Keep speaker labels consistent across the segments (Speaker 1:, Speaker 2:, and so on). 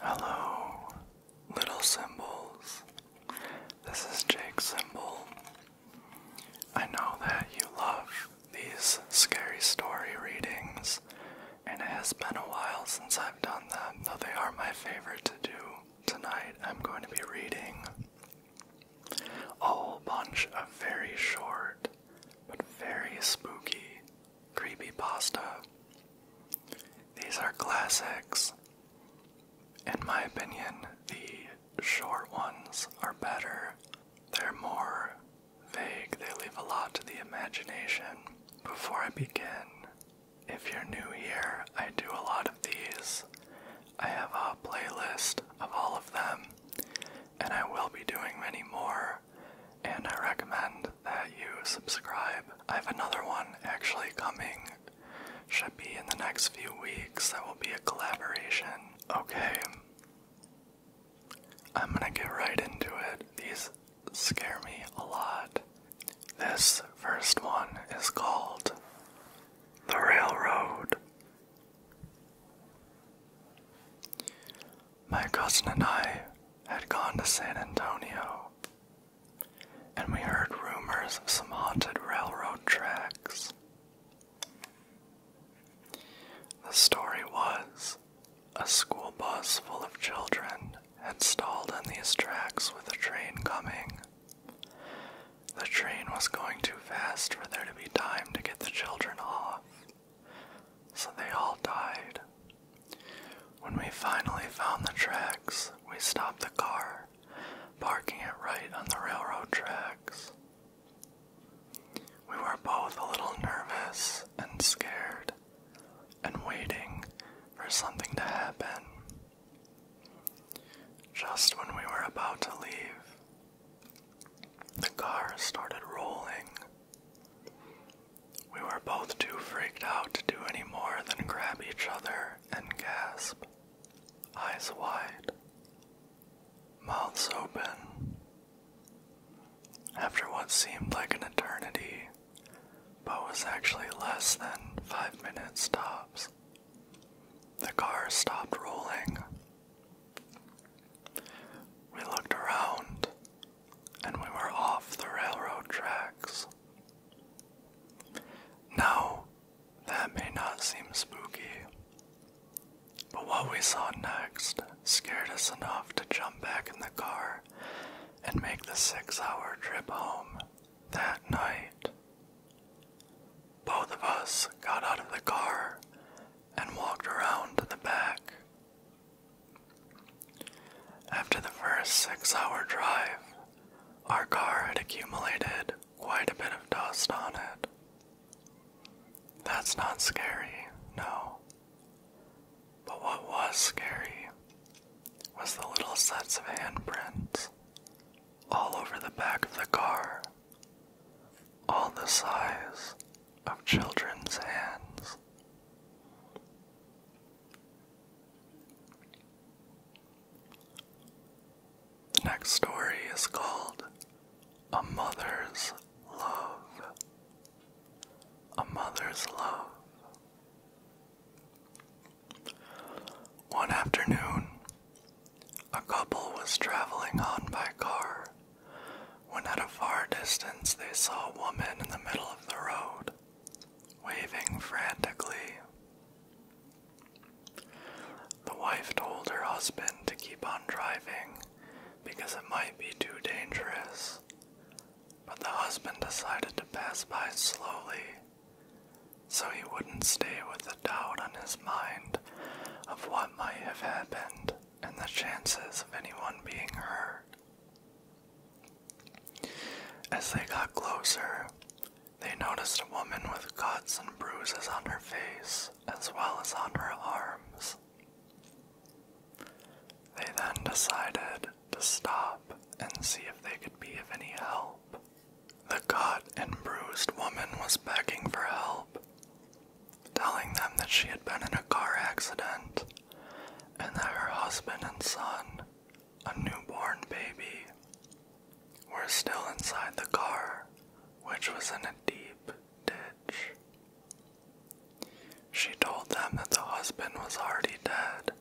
Speaker 1: Hello, little symbols. This is Jake Symbol. I know that you love these scary story readings, and it has been a while since I've done them, though they are my favorite to do. Tonight I'm going to be reading a whole bunch of very short but very spooky Creepy Pasta. These are classics. In my opinion, the short ones are better. They're more vague, they leave a lot to the imagination. Before I begin, if you're new here, I do a lot of these. I have a playlist of all of them, and I will be doing many more and I recommend that you subscribe. I have another one actually coming, should be in the next few weeks. That will be a collaboration. Okay, I'm gonna get right into it. These scare me a lot. This first one is called The Railroad. My cousin and I had gone to San Antonio and we heard rumors of some haunted railroad tracks. The story was a school bus full of children had stalled on these tracks with a train coming. The train was going too fast for there to be time to get the children off, so they all died. When we finally found the tracks, we stopped the car, parking it right on the railroad tracks. We were both a little nervous and scared and waiting for something to happen. Just when we were about to leave, the car started rolling. We were both too freaked out to do any more than grab each other and gasp, eyes wide, mouths open. After what seemed like an eternity, but was actually less than five minutes, stops, the car stopped rolling. We looked around, and we were off the railroad tracks. Now, that may not seem spooky, but what we saw next
Speaker 2: scared us enough to jump back in the car and make the six hour trip home that night. Both of us
Speaker 1: got out of the car and walked around to the back after the first six hour drive, our car had accumulated quite a bit of dust on it. That's not scary, no. But what was scary was the little sets of handprints all over the back of the car, all the size of children's hands. The next story is called A Mother's Love. A Mother's Love. One afternoon, a couple was traveling on by car when at a far distance they saw a woman in the middle of the road waving
Speaker 2: frantically. The wife told her
Speaker 1: husband to keep on driving because it might be too dangerous, but the husband decided to pass by slowly so he wouldn't stay with the doubt on his mind of what might have happened and the chances of anyone being hurt. As they got closer, they noticed a woman with cuts and bruises on her face as well as on her arms. They then decided to stop and see if they could be of any help. The cut and bruised woman was begging for help, telling them that she had been in a car accident and that her husband and son a newborn baby were still inside the car, which was in a deep ditch. She told them that the husband was already dead,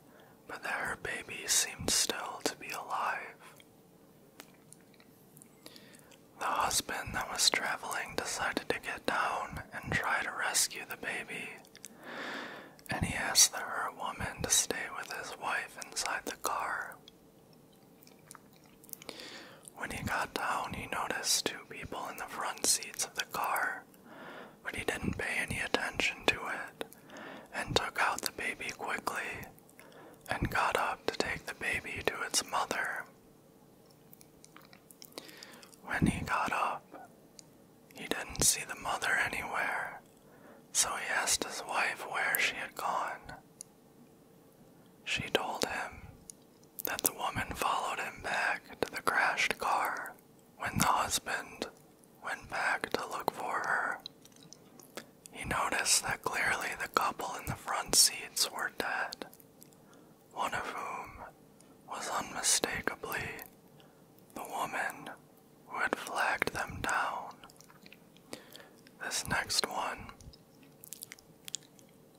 Speaker 1: but that her baby seemed still to be alive. The husband that was traveling decided to get down and try to rescue the baby, and he asked the woman to stay with his wife inside the car. When he got down, he noticed two people in the front seats of the car, but he didn't pay any attention to it and took out the baby quickly and got up to take the baby to its mother. When he got up, he didn't see the mother anywhere, so he asked his wife where she had gone. She told him that the woman followed him back to the crashed car when the husband went back to look for her. He noticed that clearly the couple in the front seats were dead, one of whom was unmistakably the woman who had flagged them down. This next one,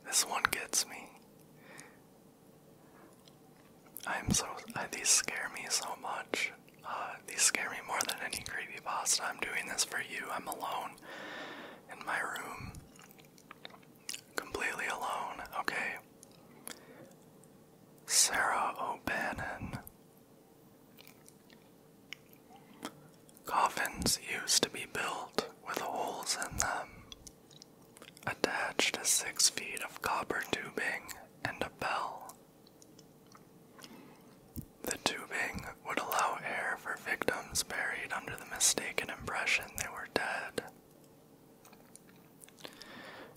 Speaker 1: this one gets me. I'm so, uh, these scare me so much. Uh, these scare me more than any creepypasta. I'm doing this for you. I'm alone in my room. Completely alone, okay? Sarah O'Bannon. Coffins used to be built with holes in them, attached to six feet of copper tubing and a bell.
Speaker 2: The tubing would allow air for victims buried under the mistaken
Speaker 1: impression they were dead.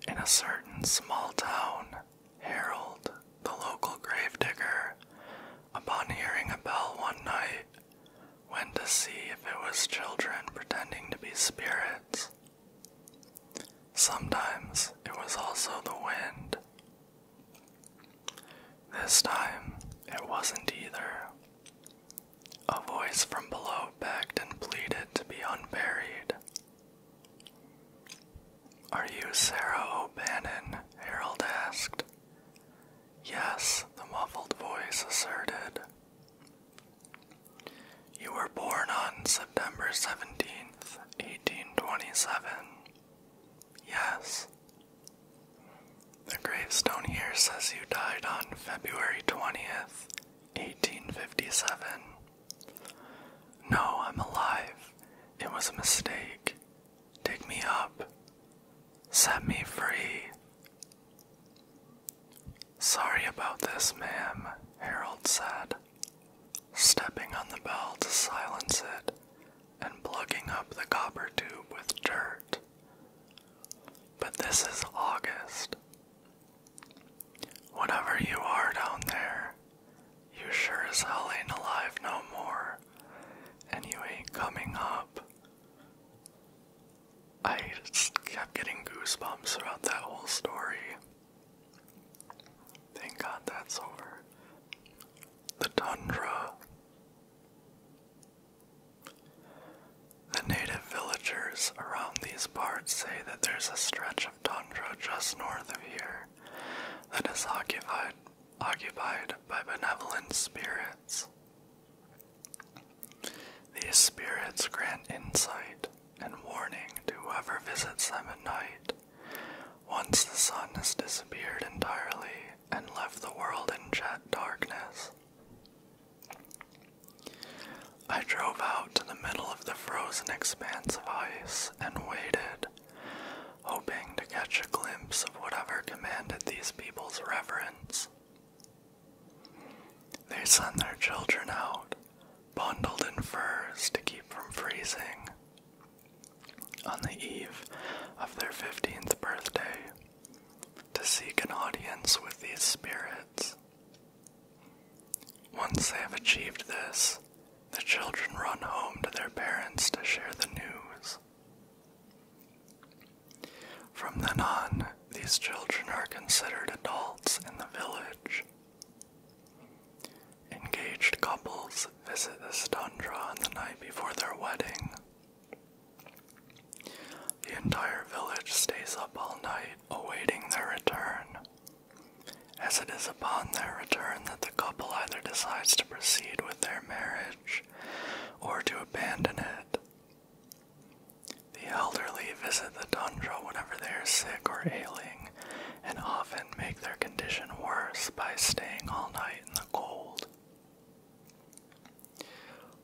Speaker 1: In a certain small town, Harold, the local grave digger, upon hearing a bell one night, went to see if it was children pretending to be spirits. Sometimes it was also the wind. This time it wasn't either. A voice from below begged and pleaded to be unburied. Are you Sarah O'Bannon? Harold asked. Yes, the muffled voice asserted. You were born on September 17th, 1827. Yes. The gravestone here says you died on February 20th, 1857. No, I'm alive. It was a mistake. Dig me up. Set me free. Sorry about this, ma'am, Harold said, stepping on the bell to silence it and plugging up the copper tube with dirt. But this is August. Whatever you are down there,
Speaker 2: you sure as hell ain't alive no more, and you ain't coming up.
Speaker 1: I kept getting goosebumps throughout that whole story. Thank God that's over. The tundra. The native villagers around these parts say that there's a stretch village just north of here that is occupied occupied by benevolent spirits. These spirits grant insight and warning to whoever visits them at night. Once the sun has disappeared entirely and left the world in jet darkness,
Speaker 2: I drove out to the middle of the frozen expanse
Speaker 1: of ice and waited, hoping to catch a glimpse of whatever commanded these people's reverence. They sent their children out, bundled in furs to keep from freezing. On the eve of their 15th birthday, to seek an audience with these spirits. Once they have achieved this, the children run home to their parents to share the news. From then on, these children are considered adults in the village. Engaged couples visit this tundra on the night before their wedding. The entire village stays up all night awaiting their return, as it is upon their return that the couple either decides to proceed with their marriage or to abandon it. The elderly visit the tundra whenever they are sick or ailing and often make their condition worse by staying all night in the cold.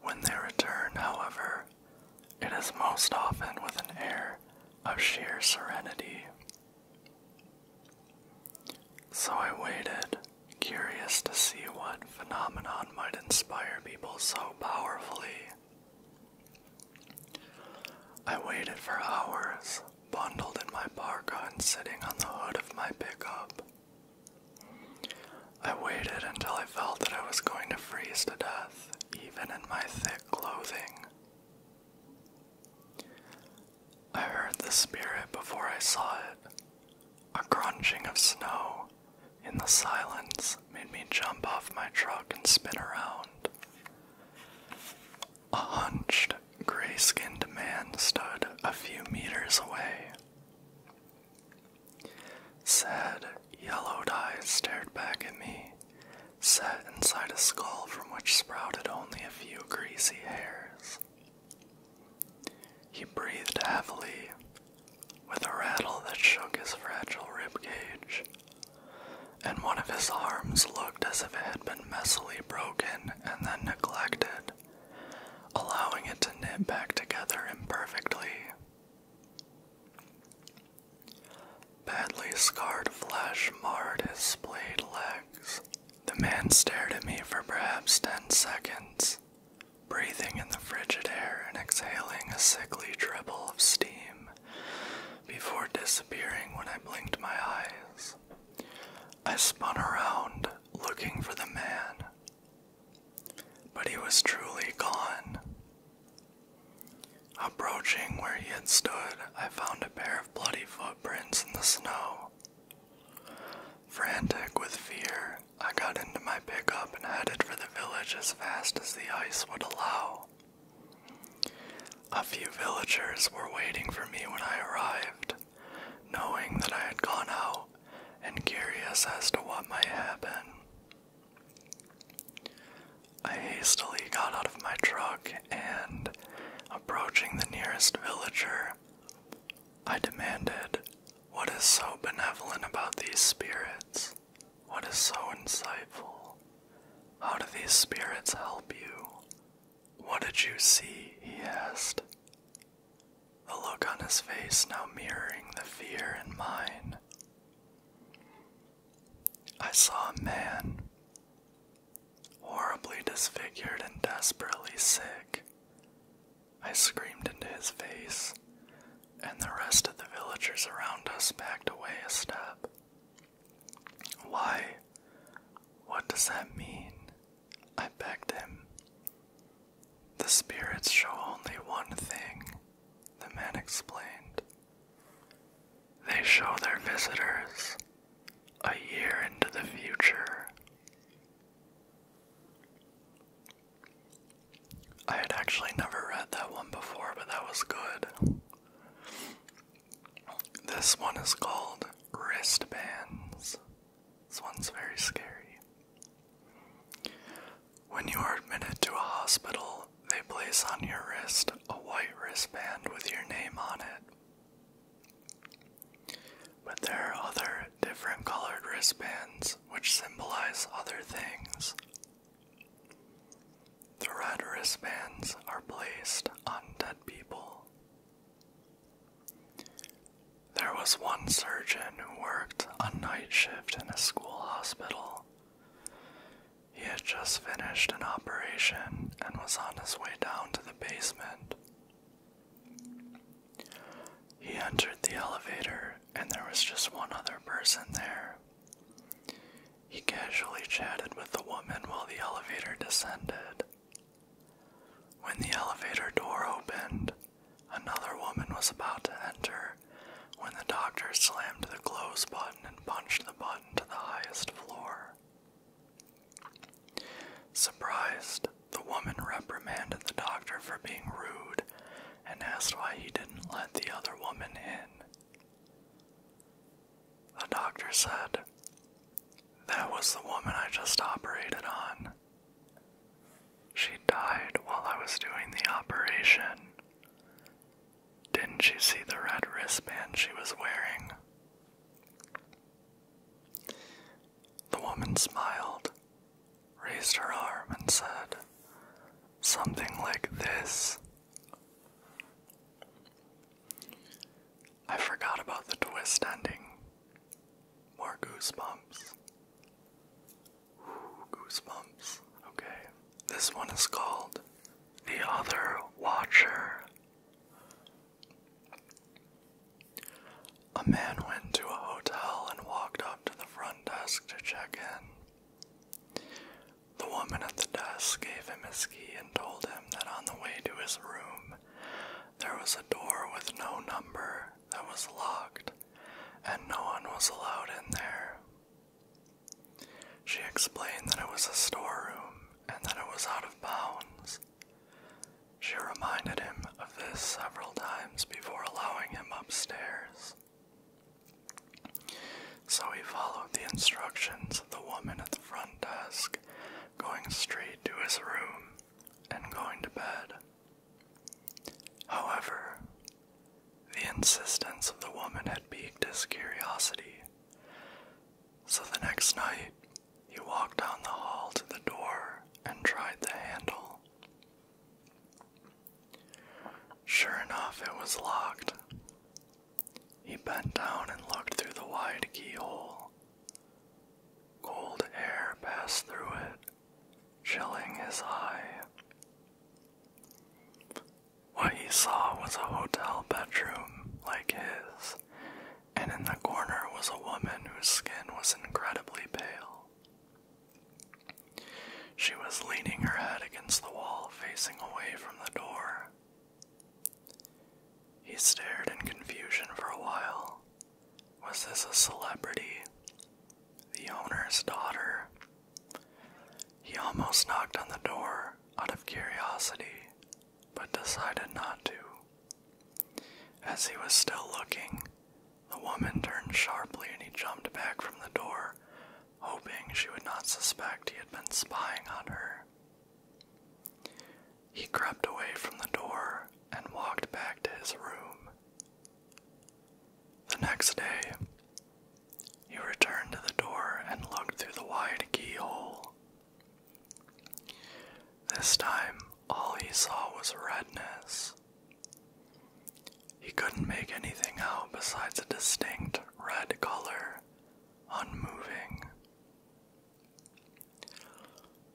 Speaker 1: When they return, however, it is most often with an air of sheer serenity. So I waited, curious to see what phenomenon might inspire people so powerfully. I waited for hours, bundled in my parka and sitting on the hood of my pickup. I waited until I felt that I was going to freeze to death, even in my thick clothing. I heard the spirit before I saw it. A crunching of snow in the silence made me jump off my truck and spin around. A hunched, gray skinned man stood a few meters away.
Speaker 2: Sad, yellowed eyes stared back at me, set inside a skull
Speaker 1: from which sprouted only a few greasy hairs. He breathed heavily, with a rattle that shook his fragile rib cage, and one of his arms looked as if it had been messily broken and then neglected, allowing it to knit back together imperfectly. Badly scarred flesh marred his splayed legs. The man stared at me for perhaps ten seconds, breathing in the frigid air and exhaling a sickly dribble of steam, before disappearing when I blinked my eyes. I spun around, looking for the man, but he was truly gone. Approaching where he had stood, I found a pair of bloody footprints in the snow. Frantic with fear, I got into my pickup and headed for the village as fast as the ice would allow. A few villagers were waiting for me when I arrived, knowing that I had gone out and curious as to what might happen. I hastily got out of my truck and, approaching the nearest villager, I demanded, What is so benevolent about these spirits? What is so insightful? How do these spirits help you? What did you see? he asked. The look on his face now mirroring the fear in mine. I saw a man, horribly disfigured and desperately sick. I screamed into his face, and the rest of the villagers around us backed away a step. Why? What does that mean? I begged him. The spirits show only one thing, the man explained. They show their visitors a year into the future. I had actually never read that one before, but that was good. This one is called Wristbands. This one's very scary.
Speaker 2: When you are admitted to a hospital, they place on your wrist a white wristband
Speaker 1: with your name on it. But there are other different colored wristbands which symbolize other things. The red wristbands are placed on dead people. There was one surgeon who worked a night shift in a school hospital. He had just finished an operation and was on his way down to the basement. He entered the elevator, and there was just one other person there. He casually chatted with the woman while the elevator descended. When the elevator door opened, another woman was about to enter when the doctor slammed the close button and punched the button to the highest floor. Surprised, the woman reprimanded the doctor for being rude and asked why he didn't let the other woman in. The doctor said, That was the woman I just operated on. She died while I was doing the operation. Didn't you see the red wristband she was wearing? The woman smiled, raised her arm, and said, Something like this. I forgot about the twist ending. More goosebumps. goosebumps. Okay. This one is called The Other Watcher. A man went to a hotel and walked up to the front desk to check in. The woman at the desk gave him his key and told him that on the way to his room there was a door with no number that was locked, and no one was allowed in there. She explained that it was a storeroom and that it was out of bounds. She reminded him of this several times before allowing him upstairs. So he followed the instructions of the woman at the front desk, going straight to his room and going to bed. However, the insistence of the woman had piqued his curiosity, so the next night, he walked down the hall to the door and tried the handle. Sure enough, it was locked. He
Speaker 2: bent down and looked through the wide keyhole. Cold air passed through it, chilling
Speaker 1: his eye. What he saw was a hotel bedroom like his, and in the corner was a woman whose skin was incredibly pale. She was leaning her head against the wall, facing away from the door. He stared in confusion for a while. Was this a celebrity? The owner's daughter? He almost knocked on the door out of curiosity, but decided not to. As he was still looking, the woman turned sharply and he jumped back from the door, hoping she would not suspect he had been spying on her. He crept away from the door and walked back to his room. The next day, he returned to the door and looked through the wide keyhole. This time, all he saw was redness. He couldn't make anything out besides a distinct red color, unmoving.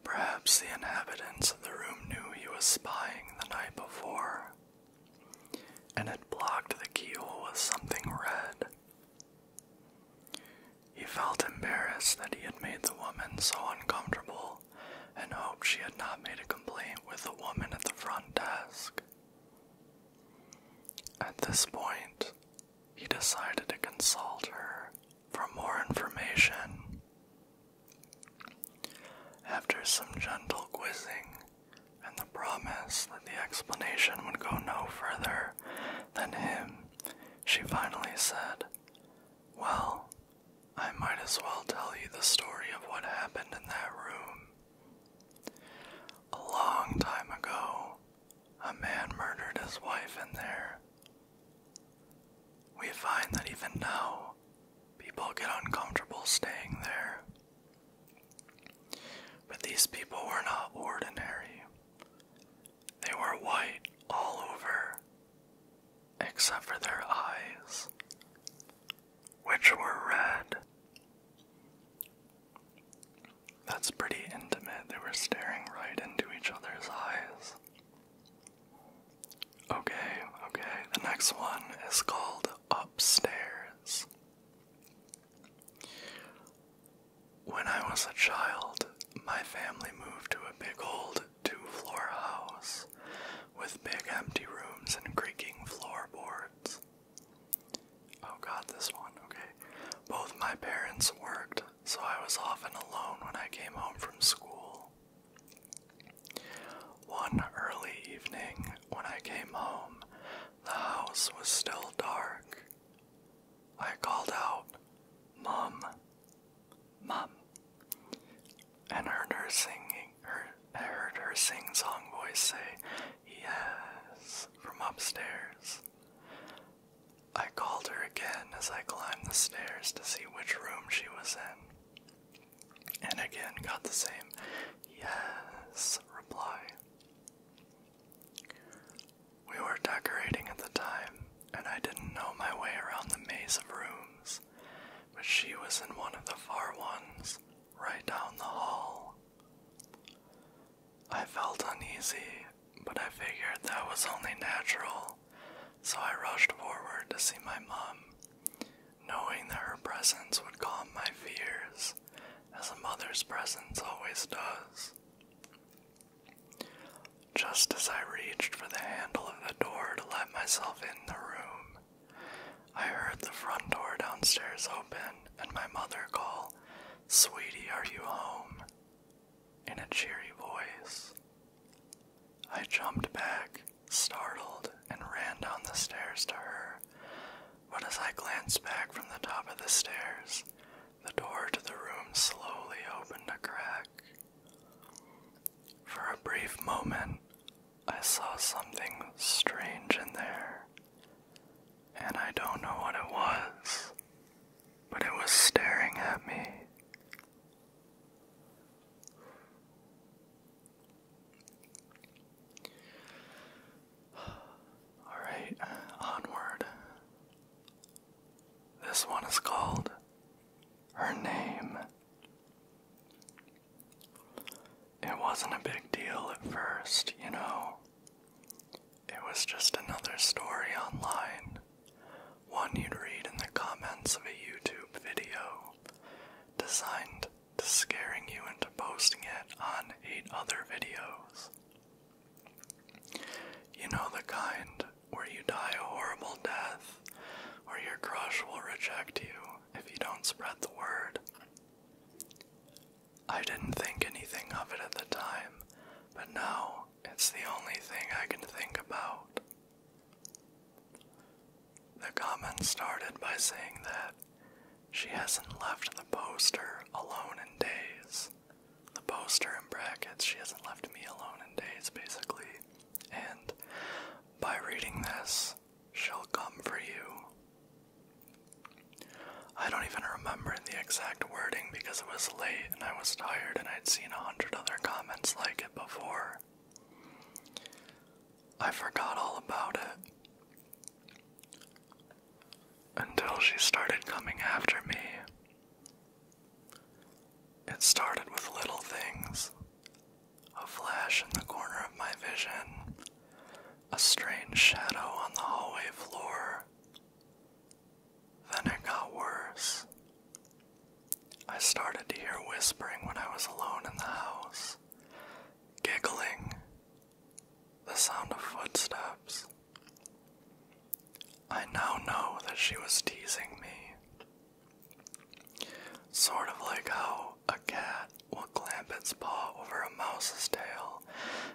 Speaker 1: Perhaps the inhabitants of the room knew he was spying the night before, and had blocked the keyhole with something red. He felt embarrassed that he had made the woman so uncomfortable and hoped she had not made a complaint with the woman at the front desk. At this point, he decided to consult her for more information. After some gentle quizzing, and the promise that the explanation would go no further than him, she finally said, Well, I might as well tell you the story of what happened in that room. A long time ago, a man murdered his wife in there. We find that even now, people get uncomfortable staying there. But these people were not ordinary. They were white all over, except for their eyes, which were red. That's pretty intimate. They were staring right into each other's eyes. Okay, okay, the next one is called Upstairs. When I was a child, my family moved to a big old two floor house with big empty rooms and creaking floorboards. Oh, God, this one, okay. Both my parents worked, so I was often alone when I came home from school. One early evening, when I came home, the house was still dark. I called out, Mum, Mum, and heard her singing. I heard her sing-song voice say, Yes, from upstairs. I called her again as I climbed the stairs to see which room she was in, and again got the same yes reply. We were decorating at the time, and I didn't know my way around the maze of rooms, but she was in one of the far ones, right down the hall. I felt uneasy, but I figured that was only natural, so I rushed forward to see my mom, knowing that her presence would calm my fears as a mother's
Speaker 2: presence always does. Just as I reached for the handle of the door to let myself
Speaker 1: in the room, I heard the front door downstairs open and my mother call, Sweetie, are you home?
Speaker 2: in a cheery voice. I jumped back, startled, and ran down the
Speaker 1: stairs to her but as I glanced back from the top of the stairs, the door to the room slowly opened a crack. For a brief moment, I saw something strange in there, and I don't know what it was, but it was staring at me. Alright, onward. This one is called Her Name. It wasn't a big deal at first, you know. It was just another story online, one you'd read in the comments of a YouTube video designed to scaring you into posting it on eight other videos. You know the kind where you die a horrible death, or your crush will reject you if you don't spread the word. I didn't think anything of it at the time, but now it's the only thing I can think about. The comment started by saying that she hasn't left the poster alone in days. The poster in brackets, she hasn't left me alone in days, basically. And by reading this, she'll come for you. I don't even remember the exact wording because it was late and I was tired and I'd seen a hundred other comments like it before. I forgot all about it until she started coming after me. It started with little things a flash in the corner of my vision, a strange shadow on the hallway floor. Then it got worse. I started to hear whispering when I was alone in the house, giggling the sound of footsteps. I now know that she was teasing me. Sort of like how a cat will clamp its paw over a mouse's tail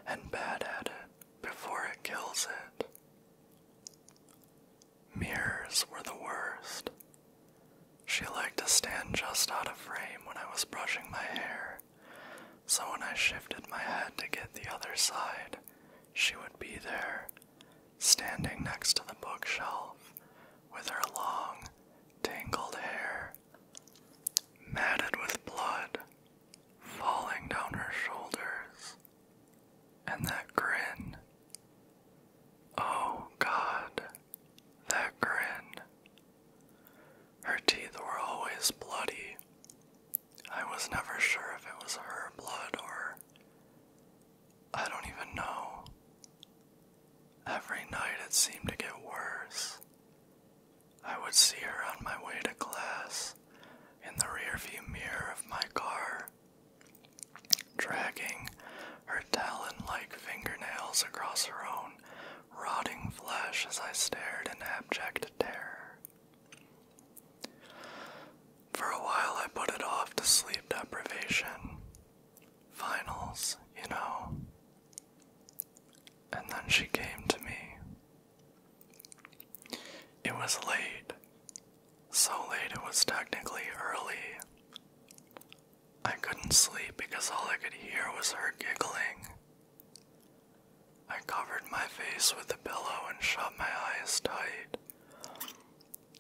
Speaker 1: and bat at it before it kills it. Mirrors were the worst. She liked to stand just out of frame when I was brushing my hair so when I shifted my head to get the other side, she would be there, standing next to the bookshelf, with her long, tangled hair, matted with blood, falling down her shoulders, and that grin. Oh God, that grin. Her teeth were always bloody. I was never sure if it was her blood or. I don't even know. Every night it seemed to get worse. I would see her on my way to class in the rearview mirror of my car, dragging her talon like fingernails across her own rotting flesh as I stared in abject terror. For a while, I put it off to sleep deprivation. Finals, you know. And then she came to me. It was late. So late it was technically early. I couldn't sleep because all I could hear was her giggling. I covered my face with a pillow and shut my eyes tight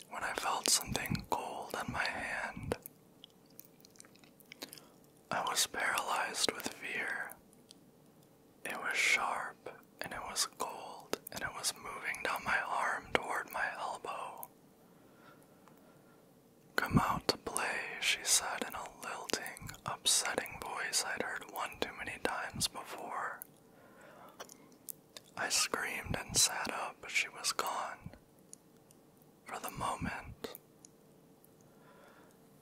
Speaker 1: when I felt something cold on my hand. I was paralyzed with fear. It was sharp and it was cold and it was moving down my arm toward my elbow. Come out to play, she said in a lilting, upsetting voice I'd heard one too many times before. I screamed and sat up, but she was gone. For the moment.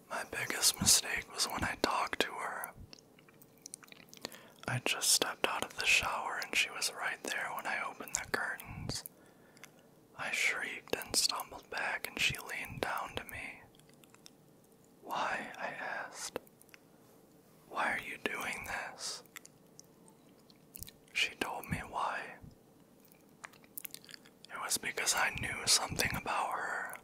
Speaker 1: My biggest mistake was when I talked to her. I just stepped out of the shower and she was right there when I opened the curtains. I shrieked and stumbled back, and she leaned down to me. Why? I asked. Why are
Speaker 2: you doing this? She told me why. It was because I
Speaker 1: knew something about her.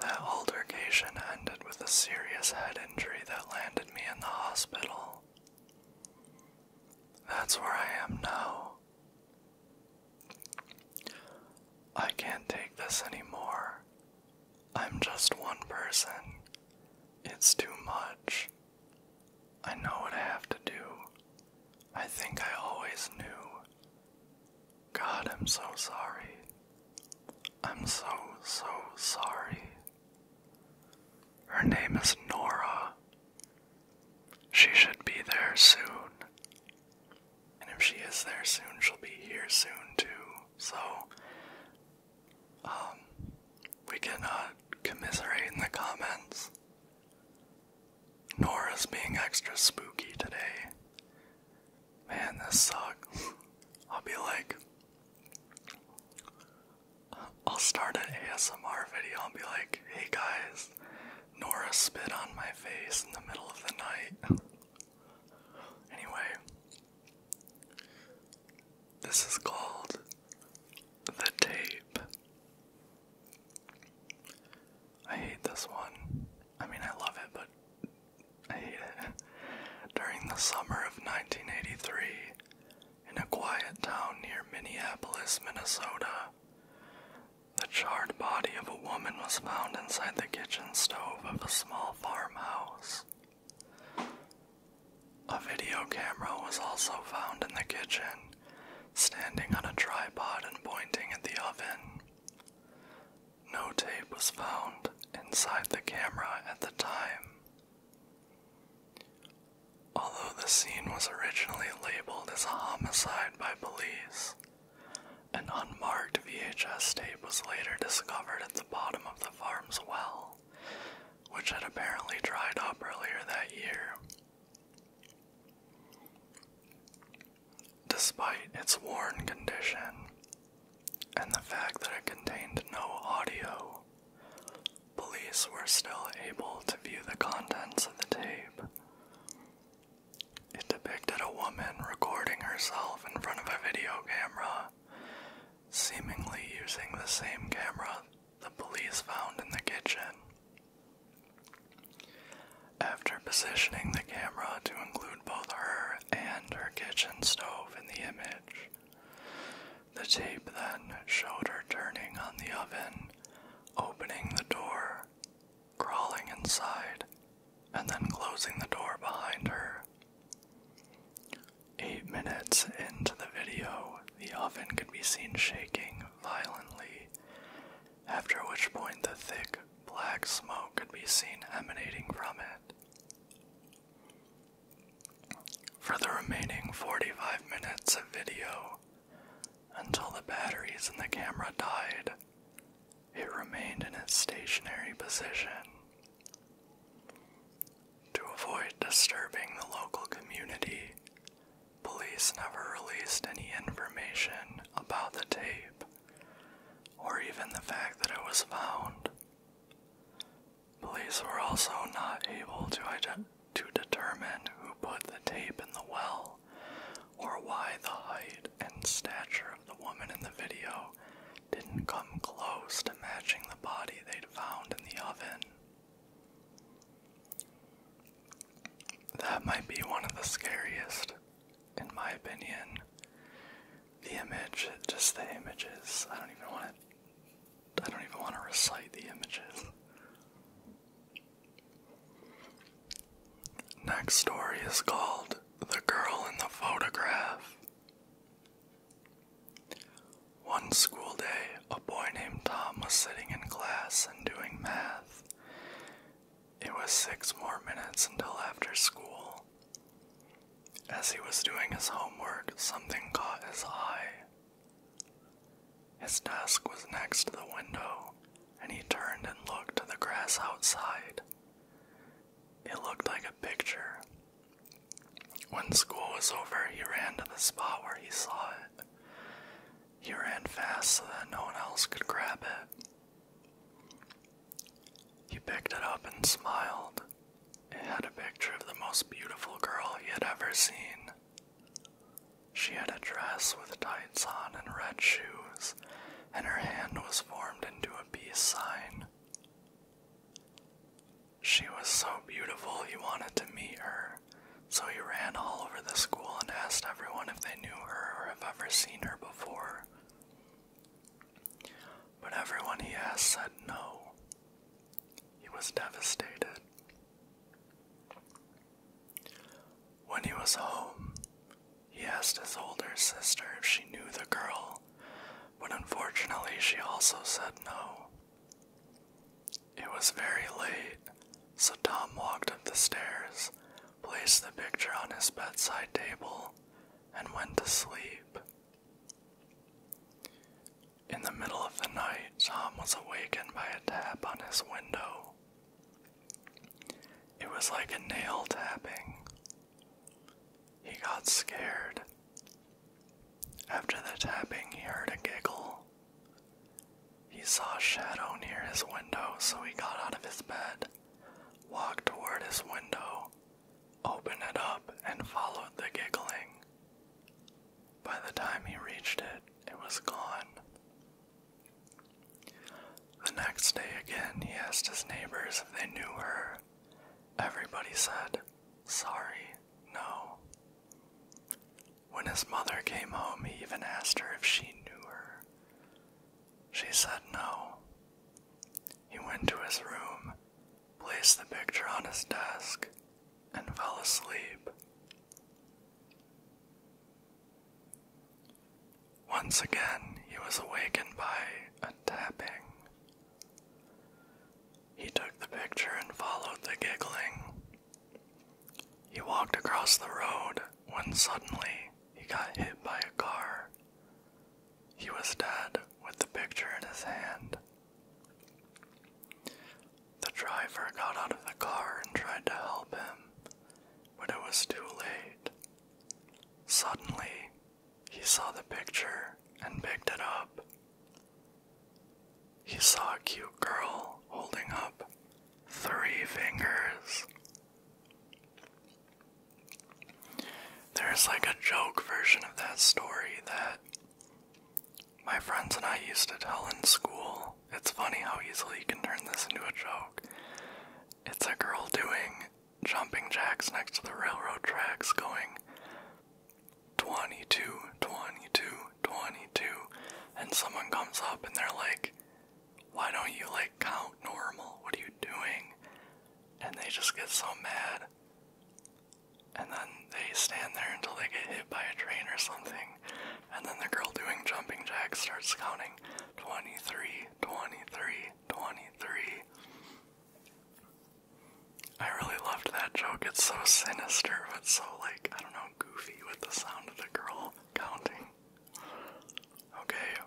Speaker 1: That altercation ended with a serious head injury that landed me in the hospital. That's where I am now. I can't take this anymore. I'm just one person. It's too much. I know what I have to do. I think I always knew. God, I'm so sorry. I'm so, so sorry. Her name is Nora, she should be there soon. And if she is there soon, she'll be here soon too. So, um, we can uh, commiserate in the comments. Nora's being extra spooky today. Man, this sucks. I'll be like, I'll start an ASMR video and be like, hey guys, Nora spit on my face in the middle of the night. Anyway, this is called The Tape. I hate this one. I mean, I love it, but I hate it. During the summer of 1983, in a quiet town near Minneapolis, Minnesota, the charred body of a woman was found inside the kitchen stove of a small farmhouse. A video camera was also found in the kitchen, standing on a tripod and pointing at the oven. No tape was found inside the camera at the time. Although the scene was originally labeled as a homicide by police, an unmarked VHS tape was later discovered at the bottom of the farm's well, which had apparently dried up earlier that year. Despite its worn condition and the fact that it contained no audio, police were still able to view the contents of the tape. It depicted a woman recording herself in front of a video camera, seemingly using the same camera the police found in the kitchen. After positioning the camera to include both her and her kitchen stove in the image, the tape then showed her turning on the oven, opening the door, crawling inside and then closing the door behind her. Eight minutes into the video, the oven could be seen shaking violently, after which point the thick black smoke could be seen emanating from it. For the remaining 45 minutes of video, until the batteries in the camera died, it remained in its stationary position. To avoid disturbing the local community, police never released any information about the tape or even the fact that it was found. Police were also not able to, to determine who put the tape in the well or why the height and stature of the woman in the video didn't come close to matching the body they'd found in the oven. That might be one of the scariest, in my opinion. The image, just the images. I don't even want to. I don't even want to recite the images. Next story is called The Girl in the Photograph. One school day, a boy named Tom was sitting in class and doing math. It was six more minutes until after school. As he was doing his homework, something caught his eye. His desk was next to the window, and he turned and looked at the grass outside. It looked like a picture. When school was over, he ran to the spot where he saw it. He ran fast so that no one else could grab it. He picked it up and smiled. It had a picture of the most beautiful girl he had ever seen, she had a dress with tights on and red shoes, and her hand was formed into a peace sign. She
Speaker 2: was so beautiful he wanted to meet her, so he ran all over the school and
Speaker 1: asked everyone if they knew her or have ever seen her before. But everyone he asked said no. He was devastated. When he was home, he asked his older sister if she knew the girl, but unfortunately she also said no. It was very late, so Tom walked up the stairs, placed the picture on his bedside table, and went to sleep. In the middle of the night, Tom was awakened by a tap on his window. It was like a nail tapping. He got scared. After the tapping, he heard a giggle. He saw a shadow near his window, so he got out of his bed, walked toward his window, opened it up, and followed the giggling. By the time he reached it, it was gone. The next day again he asked his neighbors if they knew her. Everybody said, Sorry, no. When his mother came home, he even asked her if she knew her. She said no. He went to his room, placed the picture on his desk, and fell asleep. Once again, he was awakened by a tapping. He took the picture and followed the giggling. He walked across the road when suddenly he got hit by a car. He was dead with the picture in his hand. The driver got out of the car and tried to help him, but it was too late. Suddenly, he saw the picture and picked it up. He saw a cute girl holding up three fingers. There's like a joke version of that story that my friends and I used to tell in school it's funny how easily you can turn this into a joke. It's a girl doing jumping jacks next to the railroad tracks going 22, 22, 22, and someone comes up and they're like, why don't you like count normal? What are you doing? And they just get so mad. And then they stand there until they get hit by a train or something. And then the girl doing jumping jacks starts counting 23, 23, 23. I really loved that joke. It's so sinister, but so, like, I don't know, goofy with the sound of the girl counting. Okay.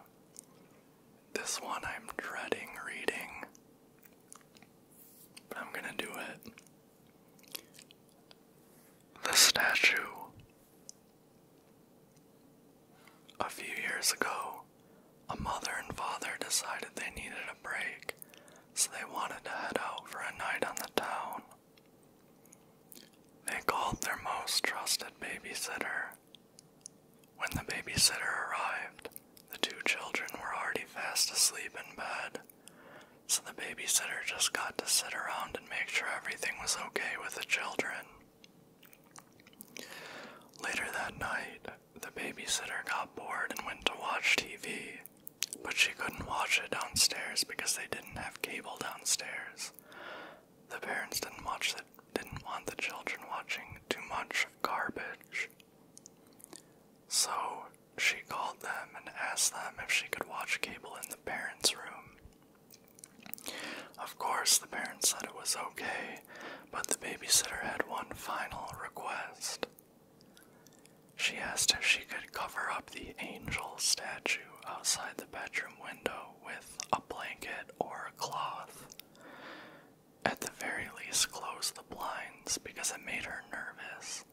Speaker 1: This one I'm dreading reading, but I'm gonna do it. The statue a few years ago, a mother and father decided they needed a break, so they wanted to head out for a night on the town. They called their most trusted babysitter. When the babysitter arrived, the two children were already fast asleep in bed, so the babysitter just got to sit around and make sure everything was okay with the children. Later that night, the babysitter got bored and went to watch TV, but she couldn't watch it downstairs because they didn't have cable downstairs. The parents didn't watch the, didn't want the children watching too much garbage. So she called them and asked them if she could watch cable in the parents' room. Of course, the parents said it was okay,
Speaker 2: but the babysitter had one final request. She
Speaker 1: asked if she could cover up the angel statue outside the bedroom window with a blanket or a cloth. At the very least, close the blinds because it made her nervous.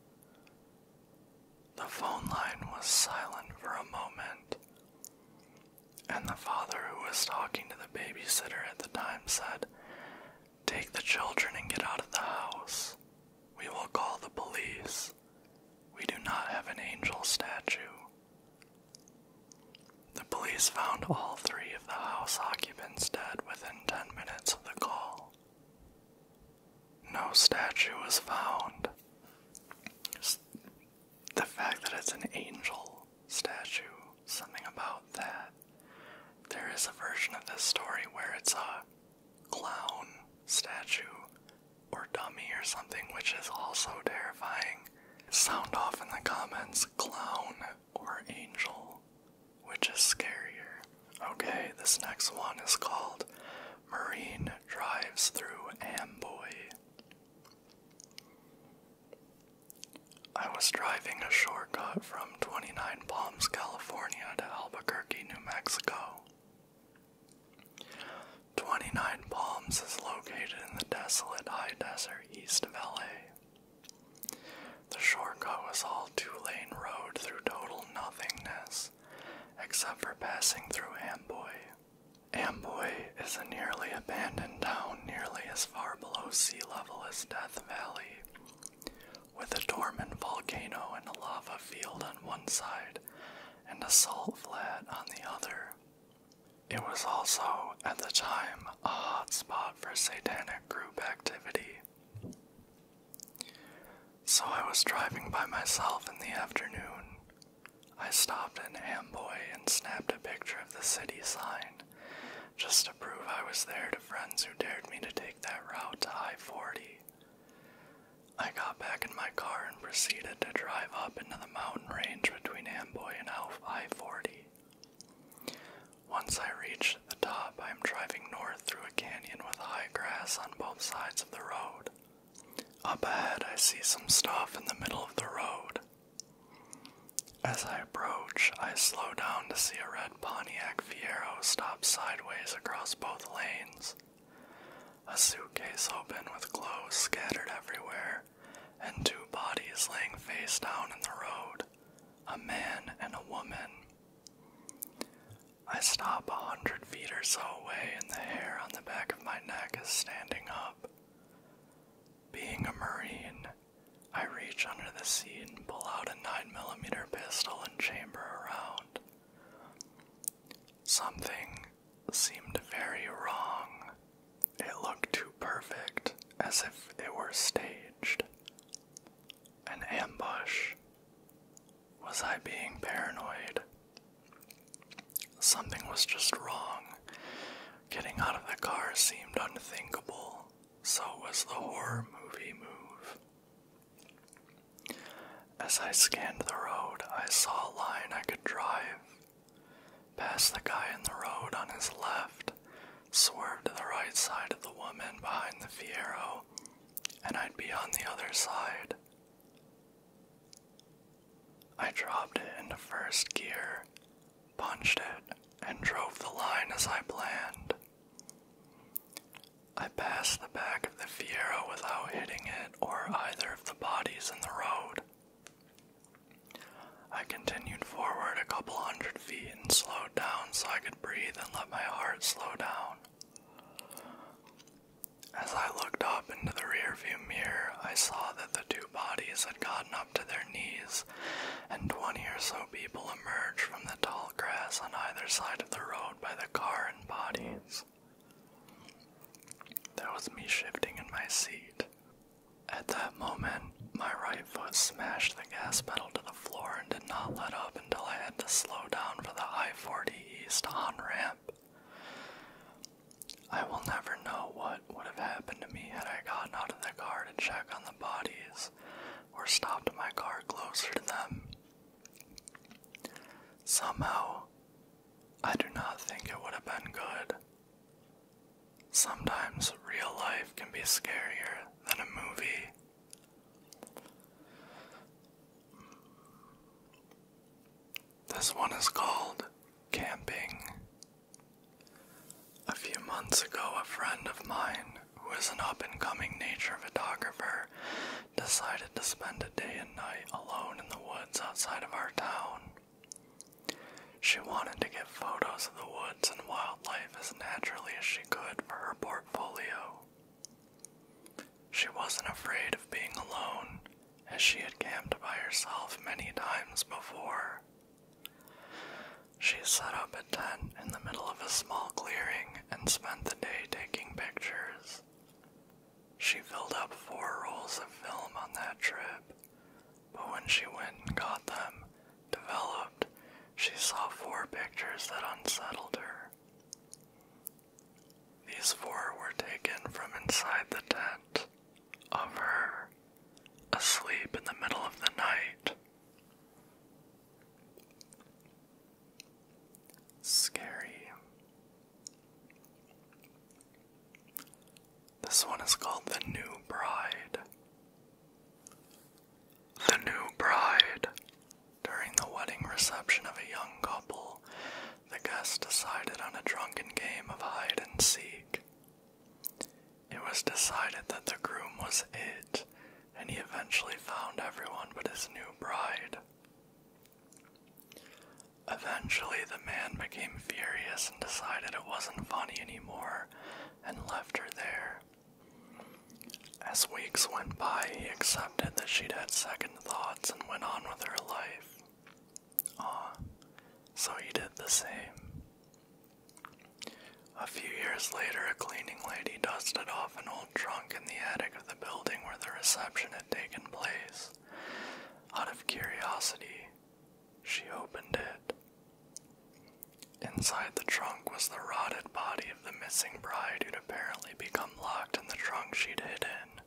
Speaker 1: The phone line was silent for a moment, and the father who was talking to the babysitter at the time said, Take the children and get out of the house. We will call the police. We do not have an angel statue. The police found all three of the house occupants dead within 10 minutes of the call. No statue was found the fact that it's an angel statue, something about that. There is a version of this story where it's a clown statue or dummy or something, which is also terrifying. Sound off in the comments clown or angel, which is scarier. Okay, this next one is called Marine Drives Through Amboy. I was driving a shortcut from 29 Palms, California to Albuquerque, New Mexico. 29 Palms is located in the desolate high desert east of LA. The shortcut was all two lane road through total nothingness, except for passing through Amboy. Amboy is a nearly abandoned town nearly as far below sea level as Death Valley, with a dormant volcano and a lava field on one side and a salt flat on the other. It was also, at the time, a hotspot for satanic group activity. So I was driving by myself in the afternoon I stopped in Amboy and snapped a picture of the city sign just to prove I was there to friends who dared me to take that route to I 40. I got back in my car and proceeded to drive up into the mountain range between Amboy and I 40. Once I reached the top, I am driving north through a canyon with high grass on both sides of the road. Up ahead, I see some stuff in the middle of the road. As I approach, I slow down to see a red Pontiac Fiero stop sideways across both lanes. A suitcase open with clothes scattered everywhere, and two bodies laying face down in the road a man and a woman. I stop a hundred feet or so away, and the hair on the back of my neck is standing up. Being a Marine, I reach under the seat and pull out a 9 millimeter pistol and chamber around. Something seemed very wrong. It looked too perfect, as if it were staged. An ambush. Was I being paranoid? Something was just wrong. Getting out of the car seemed unthinkable. So was the horror movie move. As I scanned the road, I saw a line I could drive. Past
Speaker 2: the guy in the road on his left, swerved to the right side of the woman behind the Fiero, and I'd be on the other side. I
Speaker 1: dropped it into first gear, punched it, and drove the line as I planned. I passed the back of the Fiero without hitting it or either of the bodies in the road. I continued forward a couple hundred feet and slowed down so I could breathe and let my heart slow down. As I looked up into the rearview mirror, I saw that the two bodies had gotten up to their knees, and twenty or so people emerged from the tall grass on either side of the road by the car and bodies. There was me shifting in my seat. At that moment, my right foot smashed the gas pedal to the floor and did not let up until I had to slow down for the I 40 East on ramp. I will never know what would have happened to me had I gotten out of the car to check on the bodies or stopped my car closer to them. Somehow, I do not think it would have been good. Sometimes real life can be scarier than a movie. This one is called Camping. A few months ago, a friend of mine, who is an up and coming nature photographer, decided to spend a day and night alone in the woods outside of our town. She wanted to get photos of the woods and wildlife as naturally as she could for her portfolio. She wasn't afraid of being alone, as she had camped by herself many times before. She set up a tent in the middle of a small clearing and spent the day taking pictures. She filled up four rolls of film on that trip, but when she went and got them developed, she saw four pictures that unsettled her. These four were taken from inside the tent of her asleep in the middle of the night. Scary. This one is called The New Bride. The new bride, during the wedding reception of a young couple, the guests decided on a drunken game of hide and seek. It was decided that the groom was it, and he eventually found everyone but his new bride. Eventually, the man became furious and decided it wasn't funny anymore and left her there. As weeks went by, he accepted that she'd had second thoughts and went on with her life. Ah, so he did the same. A few years later, a cleaning lady dusted off an old trunk in the attic of the building where the reception had taken place. Out of curiosity, she opened it. Inside the trunk was the rotted body of the missing bride who'd apparently become locked in the trunk she'd hidden.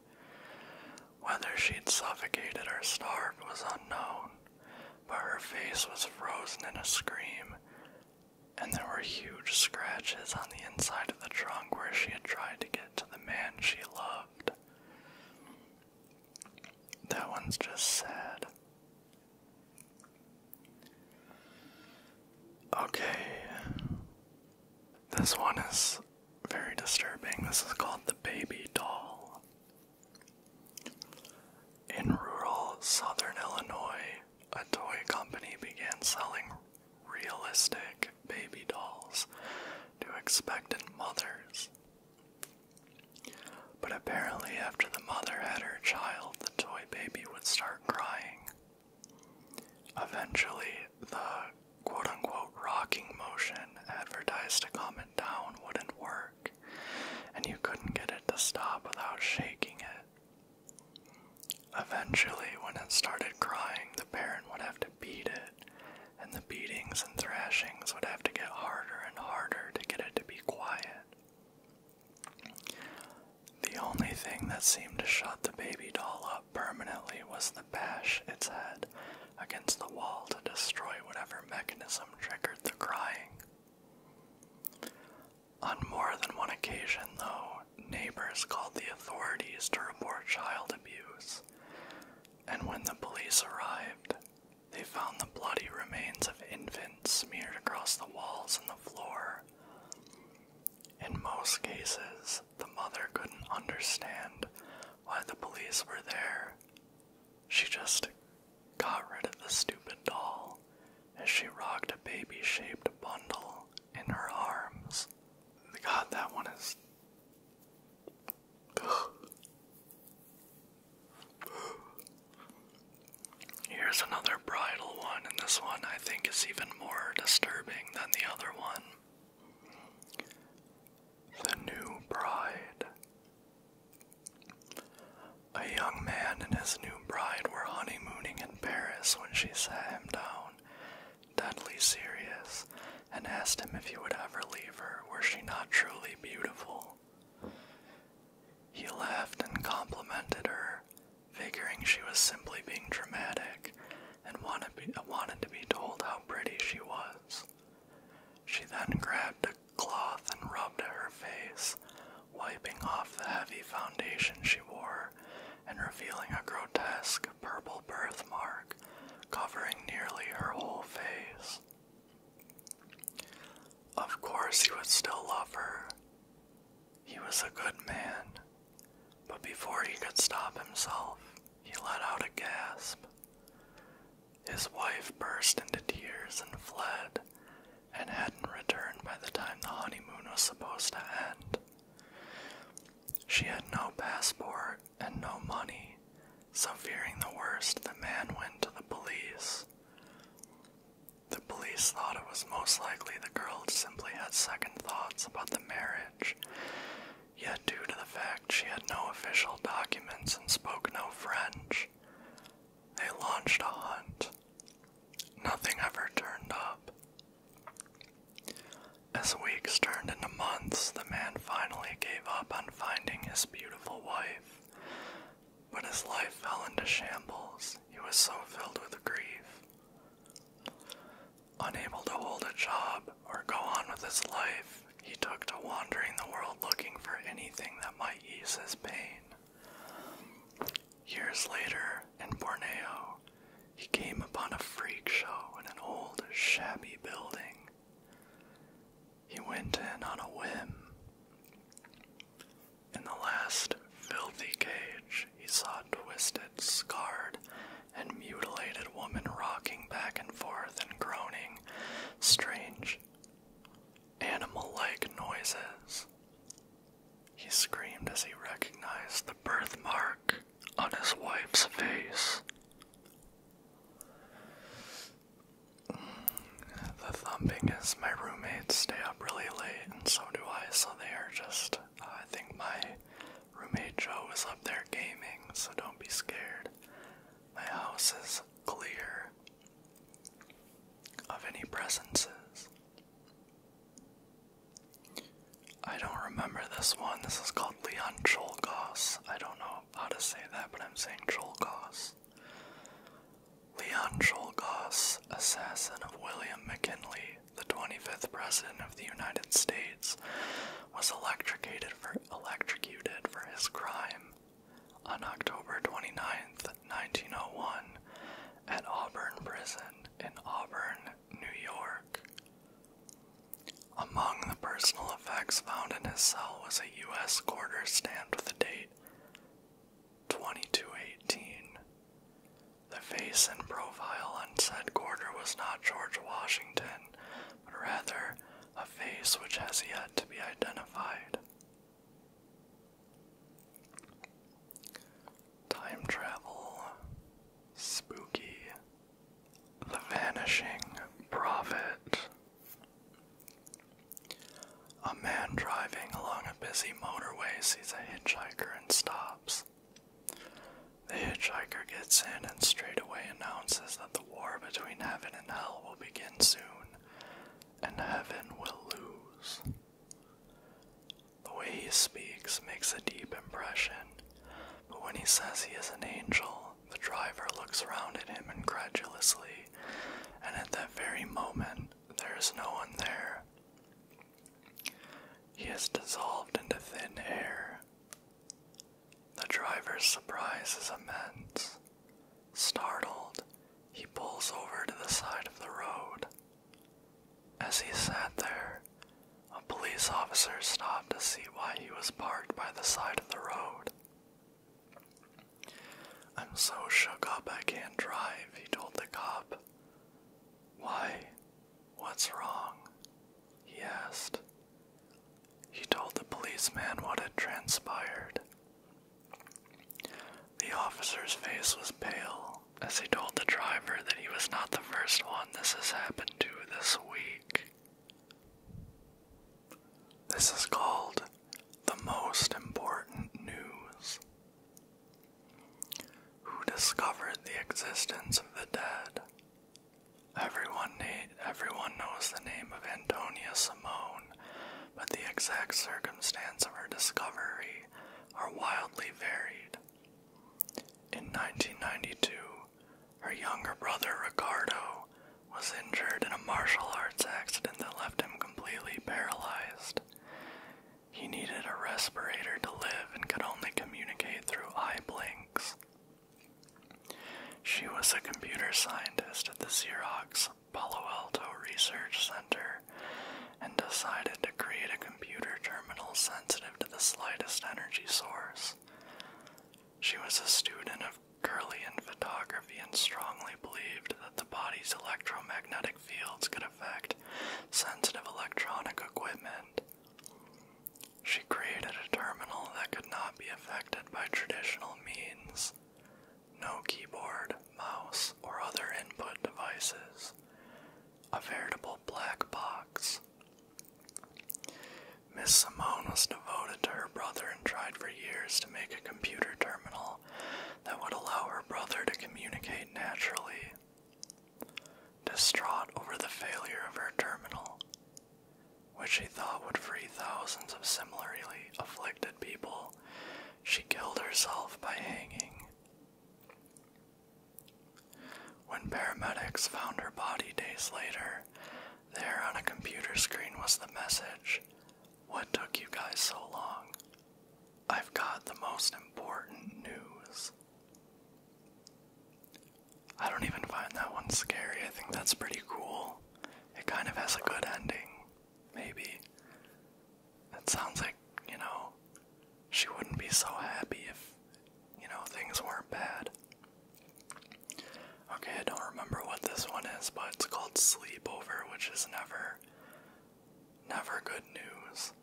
Speaker 1: Whether she'd suffocated or starved was unknown, but her face was frozen in a scream, and there were huge scratches on the inside of the trunk where she had tried to get to the man she loved. That one's just sad. Okay, this one is very disturbing. This is called The Baby Doll. In rural southern Illinois, a toy company began selling realistic baby dolls to expectant mothers. But apparently, after the mother had her child, the toy baby would start crying. Eventually, the quote unquote rocking motion advertised to calm it down wouldn't work, and you couldn't get it to stop without shaking it. Eventually, when it started crying, the parent would have to beat it, and the beatings and thrashings would have to get harder and harder to get it to be quiet. The only thing that seemed to shut the baby doll up permanently was the bash its head against the wall to destroy whatever mechanism triggered the crying. On more than one occasion, though, neighbors called the authorities to report child abuse, and when the police arrived, they found the bloody remains of infants smeared across the walls and the floor. In most cases, the mother couldn't understand why the police were there. She just got rid of the stupid doll as she rocked a baby shaped bundle in her arms. God, that one is. Here's another bridal one, and this one I think is even more disturbing than the other one. The New Bride. A young man and his new bride were honeymooning in Paris when she sat him down, deadly serious, and asked him if he would ever leave her were she not truly beautiful. He laughed and complimented her, figuring she was simply being dramatic, and wanted, to be told how pretty she was. She then grabbed a cloth and rubbed at her face, wiping off the heavy foundation she wore and revealing a grotesque purple birthmark covering nearly her whole face. Of course, he would still love her. He was a good man. But before he could stop himself, he let out a gasp. His wife burst into tears and fled, and hadn't returned by the time the honeymoon was supposed to end. She had no passport and no money, so fearing the worst,
Speaker 2: the man went to the police. The police thought it was most likely the girl simply had second thoughts
Speaker 1: about the marriage Yet, due to the fact she had no official documents and spoke no French, they launched a hunt. Nothing ever turned up. As weeks turned into months, the man finally gave up on finding his beautiful wife. But his life fell into shambles. He was so filled with grief. Unable to hold a job or go on with his life, he took to wandering the world looking
Speaker 2: for anything that might ease his pain. Years later, in Borneo, he came upon a freak
Speaker 1: show in an old, shabby building. He went in on a whim. In the last filthy cage, he saw twisted, scarred, and mutilated woman rocking back and forth and groaning strange, animal like noises. He screamed as he recognized the birthmark on his wife's face. The thumping is my roommates stay up really late, and so do I, so they are just. Uh, I think my Roommate Joe is up there gaming, so don't be scared. My house is clear of any presences.
Speaker 2: I don't remember this one. This is called Leon Cholgos. I don't know how to say
Speaker 1: that, but I'm saying Cholgos. Leon Cholgos, assassin of William McKinley, the 25th president of the United States was electrocuted for, his crime on October 29, 1901, at Auburn Prison in Auburn, New York. Among the personal effects found in his cell was a U.S. quarter stamped with the date 2218. The face and profile on said quarter was not George Washington, but rather a face which has yet to be identified. Time travel, spooky, the vanishing prophet. A man driving along a busy motorway sees a hitchhiker and stops. The hitchhiker gets in and straightaway announces that the war between heaven and hell will begin soon, and heaven will lose. The way he speaks makes a deep impression, but when he says he is an angel, the driver looks round at him incredulously, and at that very moment, there is no one there. He has dissolved into thin air. The driver's surprise is immense. Startled, he pulls over to the side of the road. As he sat there, a police officer stopped to see why he was parked by the side of the road. I'm so shook up I can't drive, he told the cop. Why? What's wrong? he asked. He told the policeman what had transpired. The officer's face was pale as he told the driver that he was not the first one this has happened to this week. This is called the most important news. Who discovered the existence of the dead Everyone, knows the name of Antonia Simone, but the exact circumstance of her discovery are wildly varied. In 1992, her younger brother Ricardo was injured in a martial arts accident that left him completely paralyzed. He needed a respirator to live and could only communicate through eye blinks. She was a computer scientist at the Xerox Palo Alto Research Center and decided to create a computer terminal sensitive to the slightest energy source. She was a student of Curlian photography and strongly believed that the body's electromagnetic fields could affect sensitive electronic equipment. She created a terminal that could not be affected by traditional means no keyboard, mouse, or other input devices, a veritable black box. Miss Simone was devoted to her brother and tried for years to make a computer terminal that would allow her brother to communicate naturally. Distraught over the failure of her terminal, which she thought would free thousands of similarly afflicted people, she killed herself by hanging. When paramedics found her body days later, there on a computer screen was the message What took you guys so long?
Speaker 2: I've got the most important news. I don't even find that one scary. I think that's
Speaker 1: pretty cool. It kind of has a good ending, maybe. It sounds like, you know, she wouldn't be so happy if, you know, things weren't bad. Okay, I don't remember what this one is, but it's called Sleepover, which is never, never good news.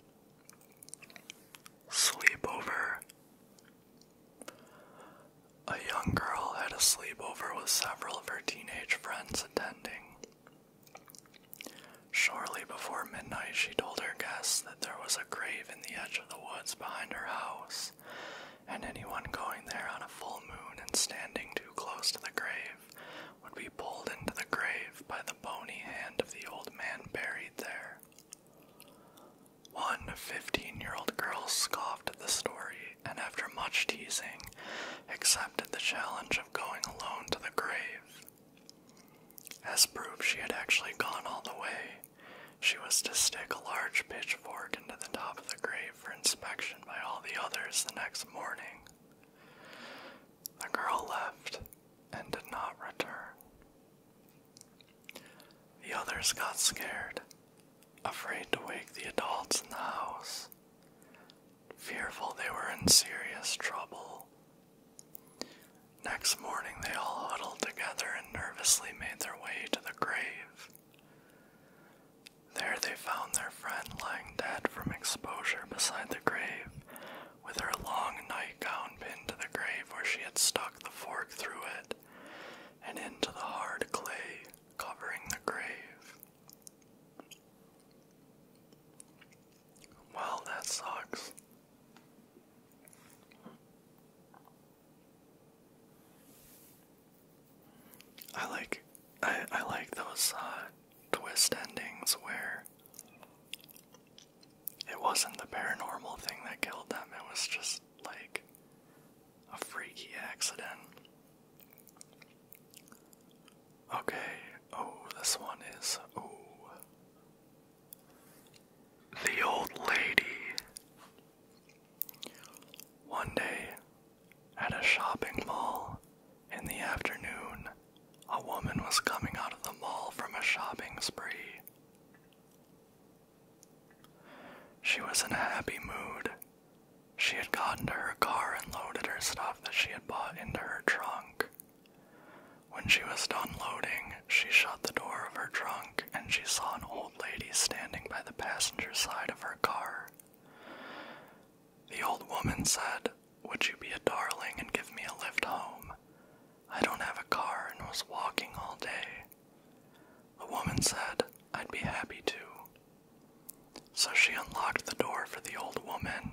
Speaker 1: Sleepover a young girl had a sleepover with several of her teenage friends attending. Shortly before midnight, she told her guests that there was a grave in the edge of the woods behind her house, and anyone going there on a full moon and standing too close to the grave would be pulled into the grave by the bony hand of the old man buried there. One 15 year old girl scoffed at the story and, after much teasing, accepted the challenge of going alone to the grave. As proof she had actually gone all the way, she was to stick a large pitchfork into the top of the grave for inspection by all the others the next morning. The girl left and did not return. The others got scared, afraid to wake the adults in the house, fearful they were in serious trouble. Next morning, they all huddled together and nervously made their way to the grave. There they found their friend lying dead from exposure beside the grave, with her long nightgown pinned to the grave where she had stuck the fork through it, and into the hard clay covering the grave. Well, that sucks. I like I I like those uh, twist endings where it wasn't the paranormal thing that killed them. It was just like a freaky accident. Okay, oh, this one is. Oh. The old lady. One day, at a shopping mall in the afternoon,
Speaker 2: a woman was coming out of the mall from a shopping spree. She
Speaker 1: was in a happy mood. She had gotten to her car and loaded her stuff that she had bought into her trunk. When she was done loading, she shut the door of her trunk and she saw an old lady standing by the passenger side of her car. The old woman said, Would you be a darling and give me a lift home? I don't have a car and was walking all day. The woman said, I'd be happy to. So she unlocked the door for the old woman.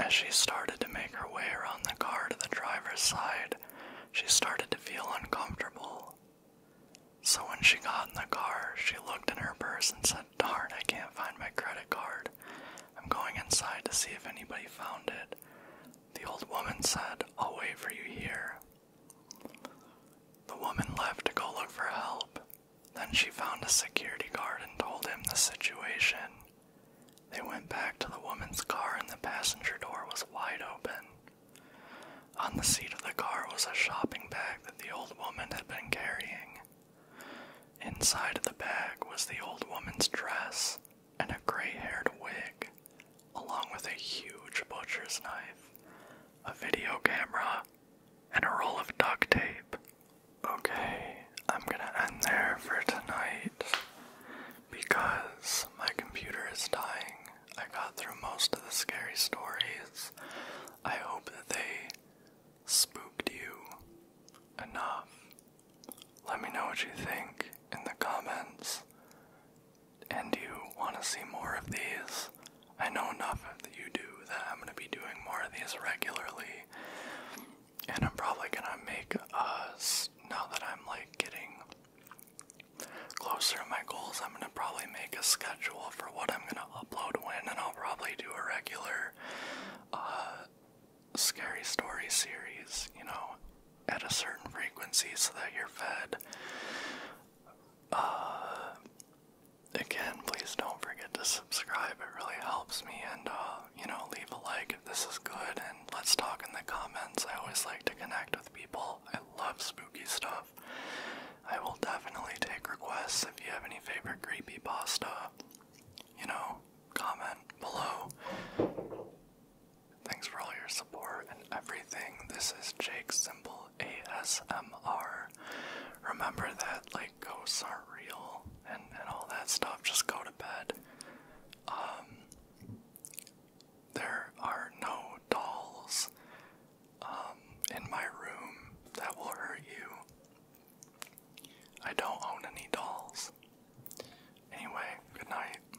Speaker 1: As she started to make her way around the car to the driver's side, she started to feel uncomfortable. So when she got in the car, she looked in her purse and said, Darn, I can't find my credit card. I'm going inside to see if anybody found it. The old woman said, I'll wait for you here. The woman left to go look for help. Then she found a security guard and told him the situation. They went back to the woman's car, and the passenger door was wide open. On the seat of the car was a shopping bag that the old woman had been carrying. Inside of the bag was the old woman's dress, and a gray haired wig, along with a huge butcher's knife, a video camera, and a roll of duct tape. Okay, I'm gonna end there for tonight because my computer is dying. I got through most of the scary stories. I hope that they spooked you enough. Let me know what you think in the comments and you want to see more of these, I know enough that you do that I'm going to be doing more of these regularly. And I'm probably going to make us, now that I'm like getting closer to my goals, I'm going to probably make a schedule for what I'm going to upload when, and I'll probably do a regular uh, scary story series, you know, at a certain frequency so that you're fed. Uh, again, please don't forget to subscribe. It really helps me. And, uh, you know, leave a like if this is good. And let's talk in the comments. I always like to connect with people. I love spooky stuff. I will definitely take requests if you have any favorite creepypasta. You know, comment below. Thanks for all your support and everything. This is Jake Simple ASMR. Remember that like ghosts aren't real and, and all that stuff. Just go to bed. Um, there are no dolls um, in my room that will hurt you. I don't own any dolls. Anyway, good night.